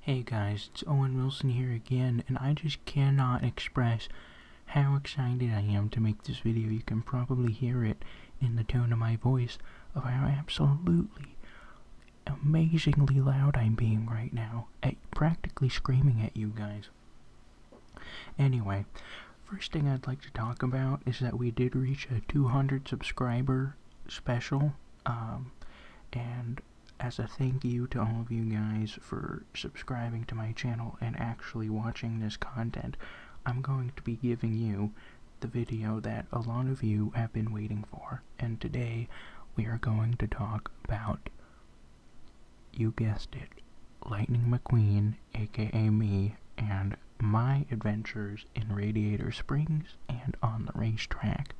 Hey guys, it's Owen Wilson here again, and I just cannot express how excited I am to make this video. You can probably hear it in the tone of my voice of how absolutely amazingly loud I'm being right now, at practically screaming at you guys. Anyway, first thing I'd like to talk about is that we did reach a 200 subscriber special, um, and as a thank you to all of you guys for subscribing to my channel and actually watching this content, I'm going to be giving you the video that a lot of you have been waiting for. And today, we are going to talk about, you guessed it, Lightning McQueen, aka me, and my adventures in Radiator Springs and on the racetrack.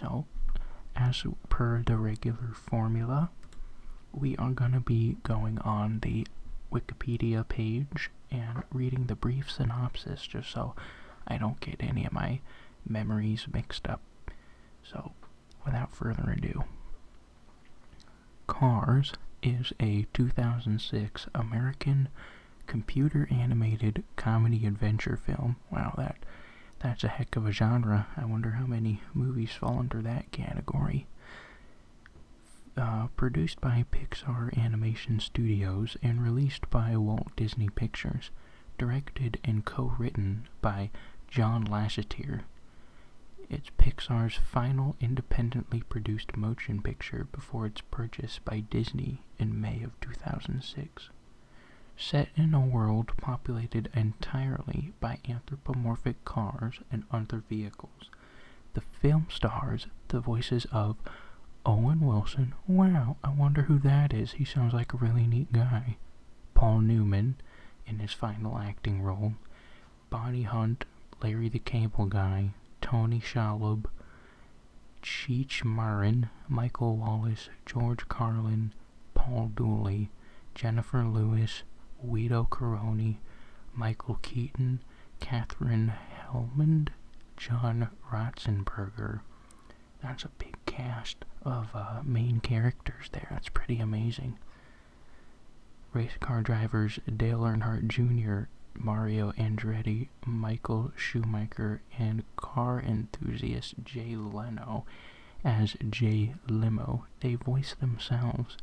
So, as per the regular formula, we are going to be going on the Wikipedia page and reading the brief synopsis just so I don't get any of my memories mixed up. So, without further ado, Cars is a 2006 American computer animated comedy adventure film. Wow, that that's a heck of a genre. I wonder how many movies fall under that category. Uh, produced by Pixar Animation Studios and released by Walt Disney Pictures, directed and co-written by John Lasseter. It's Pixar's final independently produced motion picture before its purchase by Disney in May of 2006. Set in a world populated entirely by anthropomorphic cars and other vehicles, the film stars the voices of Owen Wilson. Wow, I wonder who that is. He sounds like a really neat guy. Paul Newman in his final acting role. Bonnie Hunt, Larry the Cable Guy, Tony Shalhoub, Cheech Marin, Michael Wallace, George Carlin, Paul Dooley, Jennifer Lewis, Wido Caroni, Michael Keaton, Catherine Helmond, John Ratzenberger. That's a big cast of uh, main characters there. That's pretty amazing. Race car drivers Dale Earnhardt Jr., Mario Andretti, Michael Schumacher and car enthusiast Jay Leno as Jay Limo. They voice themselves.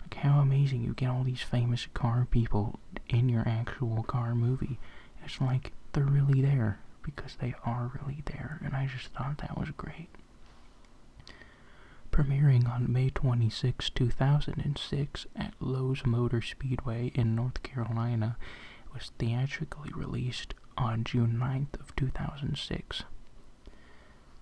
Like, how amazing you get all these famous car people in your actual car movie. It's like they're really there because they are really there, and I just thought that was great. Premiering on May 26, 2006, at Lowe's Motor Speedway in North Carolina, was theatrically released on June 9th of 2006.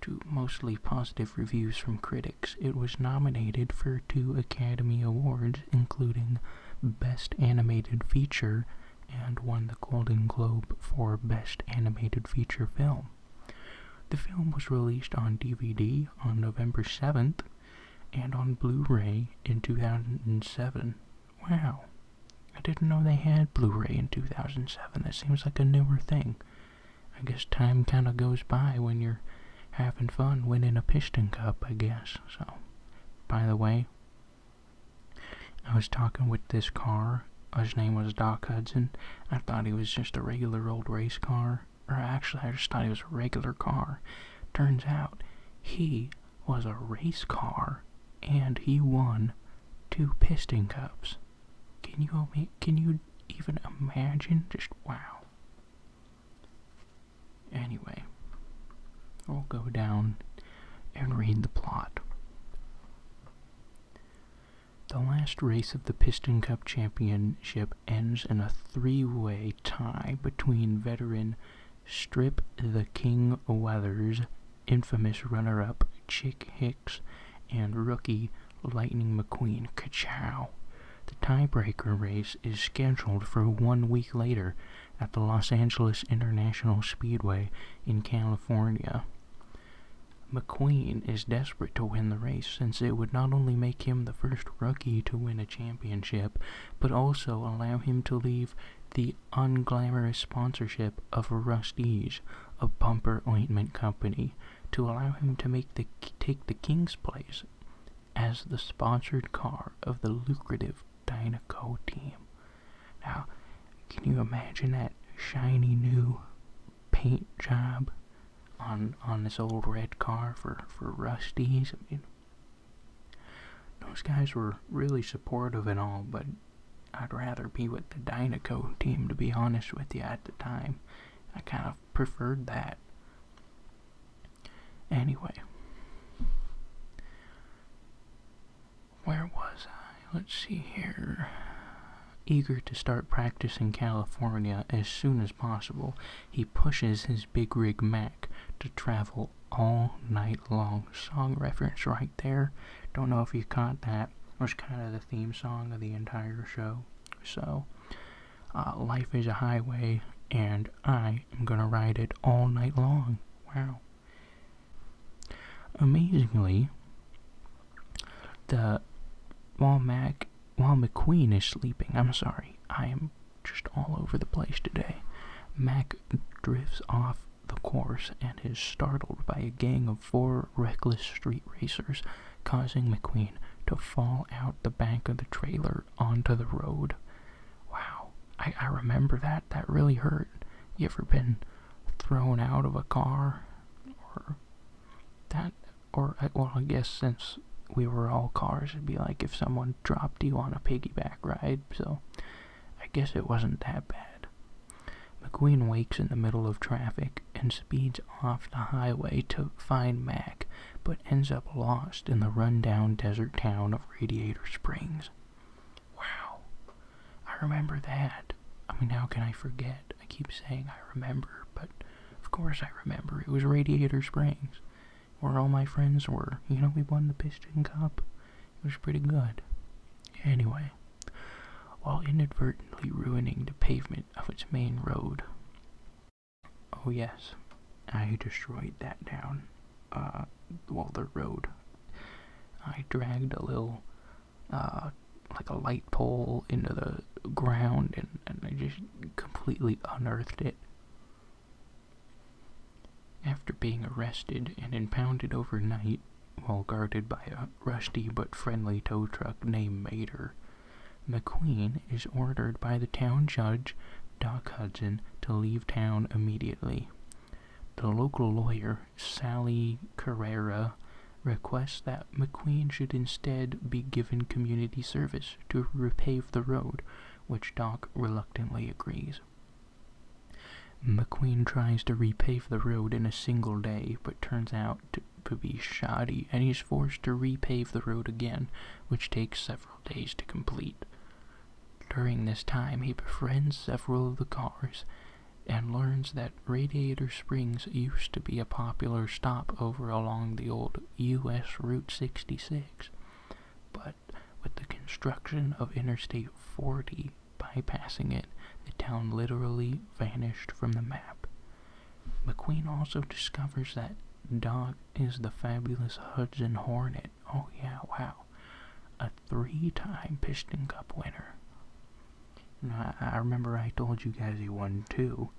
To mostly positive reviews from critics, it was nominated for two Academy Awards, including Best Animated Feature and won the Golden Globe for Best Animated Feature Film. The film was released on DVD on November 7th and on Blu ray in 2007. Wow. I didn't know they had Blu-ray in 2007. That seems like a newer thing. I guess time kind of goes by when you're having fun winning a piston cup, I guess. So, by the way, I was talking with this car. Uh, his name was Doc Hudson. I thought he was just a regular old race car. Or actually, I just thought he was a regular car. Turns out, he was a race car, and he won two Piston Cups. Can you can you even imagine? Just wow. Anyway, I'll go down and read the plot. The last race of the Piston Cup Championship ends in a three-way tie between veteran strip the King Wethers, infamous runner up Chick Hicks, and rookie Lightning McQueen. Kachow. The tiebreaker race is scheduled for one week later at the Los Angeles International Speedway in California. McQueen is desperate to win the race since it would not only make him the first rookie to win a championship, but also allow him to leave the unglamorous sponsorship of Rusty's, a bumper ointment company, to allow him to make the, take the king's place as the sponsored car of the lucrative Dynaco team. Now, can you imagine that shiny new paint job on on this old red car for for Rusty's? I mean, those guys were really supportive and all, but I'd rather be with the Dynaco team, to be honest with you, at the time. I kind of preferred that. Anyway, where was I? Let's see here. Eager to start practice in California as soon as possible, he pushes his big rig Mac to travel all night long. Song reference right there. Don't know if you caught that. was kind of the theme song of the entire show. So, uh, life is a highway, and I am going to ride it all night long. Wow. Amazingly, the while Mac while McQueen is sleeping, I'm sorry, I am just all over the place today. Mac drifts off the course and is startled by a gang of four reckless street racers, causing McQueen to fall out the back of the trailer onto the road. Wow, I, I remember that. That really hurt. You ever been thrown out of a car? Or that, or, uh, well, I guess since we were all cars, it'd be like if someone dropped you on a piggyback ride so I guess it wasn't that bad. McQueen wakes in the middle of traffic and speeds off the highway to find Mac, but ends up lost in the rundown desert town of Radiator Springs. Wow, I remember that. I mean, how can I forget? I keep saying I remember, but of course I remember. It was Radiator Springs where all my friends were. You know, we won the Piston Cup. It was pretty good. Anyway, while inadvertently ruining the pavement of its main road. Oh yes, I destroyed that down. Uh, while the road. I dragged a little, uh, like a light pole into the ground and, and I just completely unearthed it. After being arrested and impounded overnight while guarded by a rusty but friendly tow truck named Mater, McQueen is ordered by the town judge, Doc Hudson, to leave town immediately. The local lawyer, Sally Carrera, requests that McQueen should instead be given community service to repave the road which Doc reluctantly agrees. McQueen tries to repave the road in a single day, but turns out to, be shoddy, and he's forced to repave the road again, which takes several days to complete. During this time, he befriends several of the cars and learns that Radiator Springs used to be a popular stopover along the old US Route 66, but with the construction of Interstate 40 bypassing it, the town literally vanished from the map. McQueen also discovers that Doc is the fabulous Hudson Hornet. Oh, yeah, wow. A three time Piston Cup winner. I remember I told you guys he won two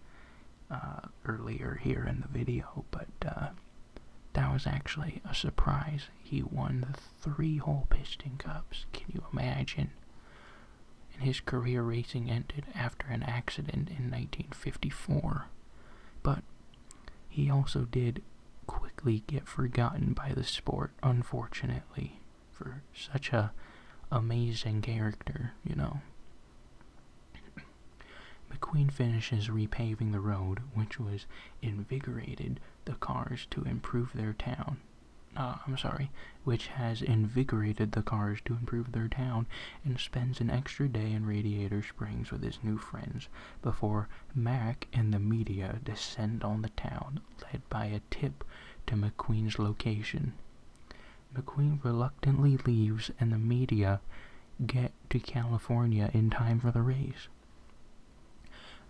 uh, earlier here in the video, but uh, that was actually a surprise. He won the three hole Piston Cups. Can you imagine? And his career racing ended after an accident in 1954. But he also did quickly get forgotten by the sport, unfortunately, for such an amazing character, you know. McQueen finishes repaving the road, which was invigorated the cars to improve their town. Uh, I'm sorry, which has invigorated the cars to improve their town, and spends an extra day in Radiator Springs with his new friends before Mac and the media descend on the town, led by a tip to McQueen's location. McQueen reluctantly leaves, and the media get to California in time for the race.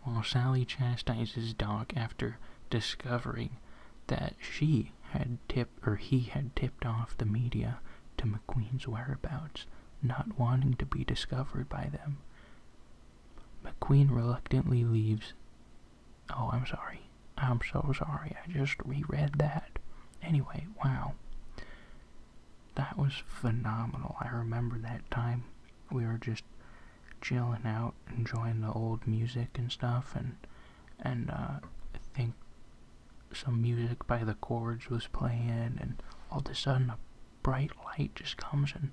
While Sally chastises Doc after discovering that she had tipped or he had tipped off the media to McQueen's whereabouts, not wanting to be discovered by them. McQueen reluctantly leaves. Oh, I'm sorry. I'm so sorry. I just reread that. Anyway, wow that was phenomenal. I remember that time we were just chilling out, enjoying the old music and stuff, and and uh, I think some music by the chords was playing, and all of a sudden a bright light just comes and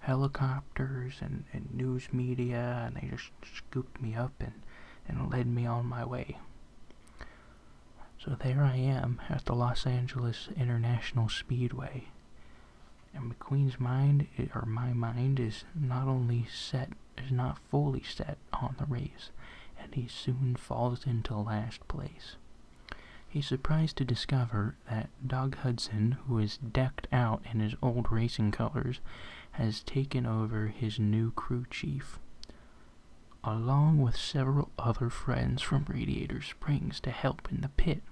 helicopters and, and news media, and they just scooped me up and and led me on my way. So there I am at the Los Angeles International Speedway. And McQueen's mind, or my mind, is not only set, is not fully set on the race, and he soon falls into last place. He's surprised to discover that Doug Hudson, who is decked out in his old racing colors, has taken over his new crew chief along with several other friends from Radiator Springs to help in the pit.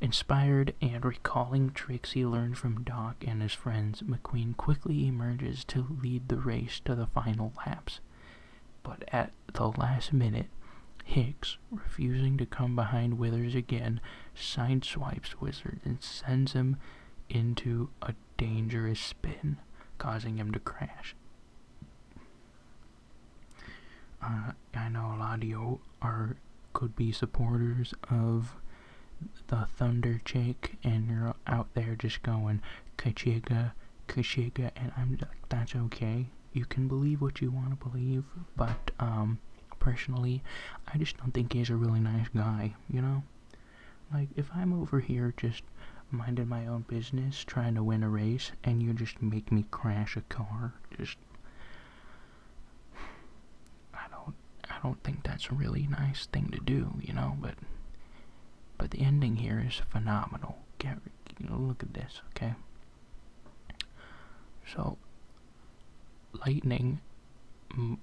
Inspired and recalling tricks he learned from Doc and his friends, McQueen quickly emerges to lead the race to the final laps. But at the last minute, Hicks, refusing to come behind Withers again, sideswipes Wizard and sends him into a dangerous spin, causing him to crash. Uh, I know a lot of you are could be supporters of the Thunder Chick, and you're out there just going Kachiga, Kachiga, and I'm like, that's okay. You can believe what you want to believe, but um, personally, I just don't think he's a really nice guy. You know, like if I'm over here just minding my own business, trying to win a race, and you just make me crash a car. Just, I don't, I don't think that's a really nice thing to do, you know. But, but the ending here is phenomenal. Get, you know, look at this, okay? So, lightning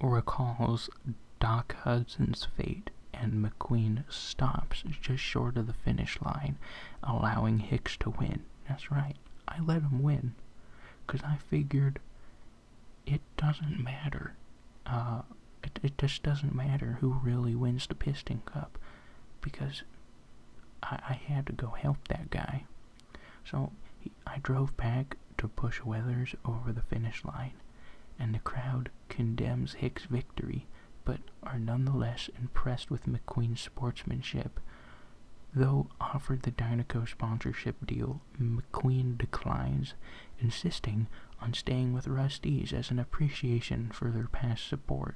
recalls Doc Hudson's fate and McQueen stops just short of the finish line, allowing Hicks to win. That's right, I let him win because I figured it doesn't matter. Uh, it, it just doesn't matter who really wins the Piston Cup because I, I had to go help that guy. So I drove back to push Weathers over the finish line, and the crowd condemns Hick's victory, but are nonetheless impressed with McQueen's sportsmanship. Though offered the Dynaco sponsorship deal, McQueen declines, insisting on staying with Rusty's as an appreciation for their past support.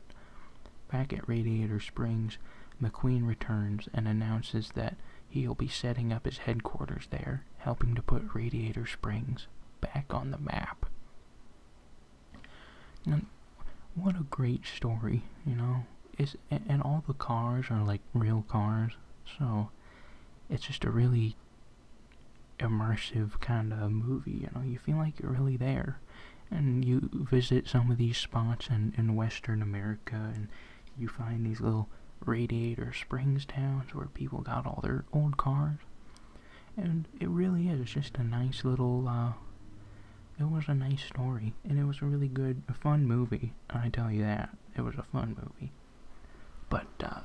Back at Radiator Springs, McQueen returns and announces that he'll be setting up his headquarters there, helping to put Radiator Springs back on the map. And what a great story, you know? It's, and all the cars are like real cars, so it's just a really immersive kind of movie, you know? You feel like you're really there. And you visit some of these spots in, in Western America, and you find these little radiator springs towns where people got all their old cars and it really is. It's just a nice little. Uh, it was a nice story, and it was a really good, a fun movie. I tell you that it was a fun movie. But uh,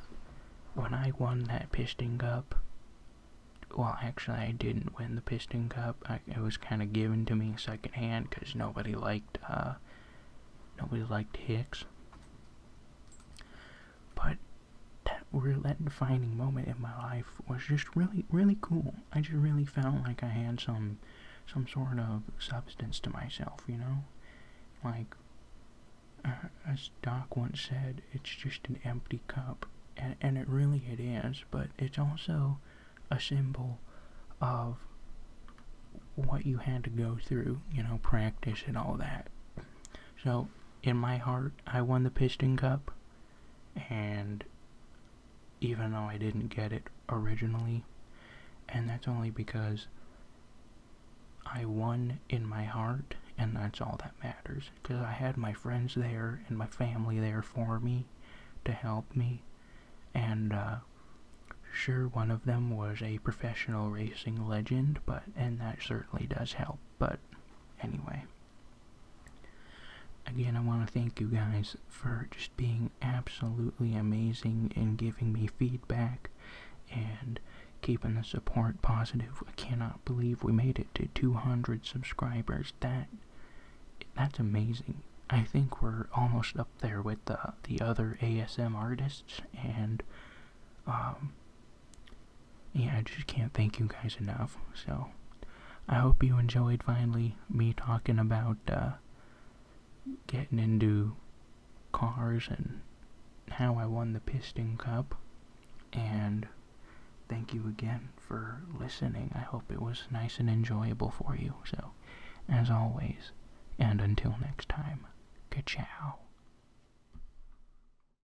when I won that Piston Cup, well, actually, I didn't win the Piston Cup. it was kind of given to me secondhand because nobody liked uh, nobody liked Hicks. But that roulette-defining moment in my life was just really, really cool. I just really felt like I had some, some sort of substance to myself, you know? Like, uh, as Doc once said, it's just an empty cup, and, and it really it is, but it's also a symbol of what you had to go through, you know, practice and all that. So, in my heart, I won the Piston Cup, and even though I didn't get it originally, and that's only because I won in my heart, and that's all that matters. Because I had my friends there and my family there for me to help me, and uh, sure, one of them was a professional racing legend, but and that certainly does help. But anyway. Again, I want to thank you guys for just being absolutely amazing and giving me feedback and keeping the support positive. I cannot believe we made it to 200 subscribers. That that's amazing. I think we're almost up there with the the other ASM artists and um, yeah, I just can't thank you guys enough. So, I hope you enjoyed finally me talking about uh, getting into cars and how I won the Piston Cup. And thank you again for listening. I hope it was nice and enjoyable for you. So, as always, and until next time, ka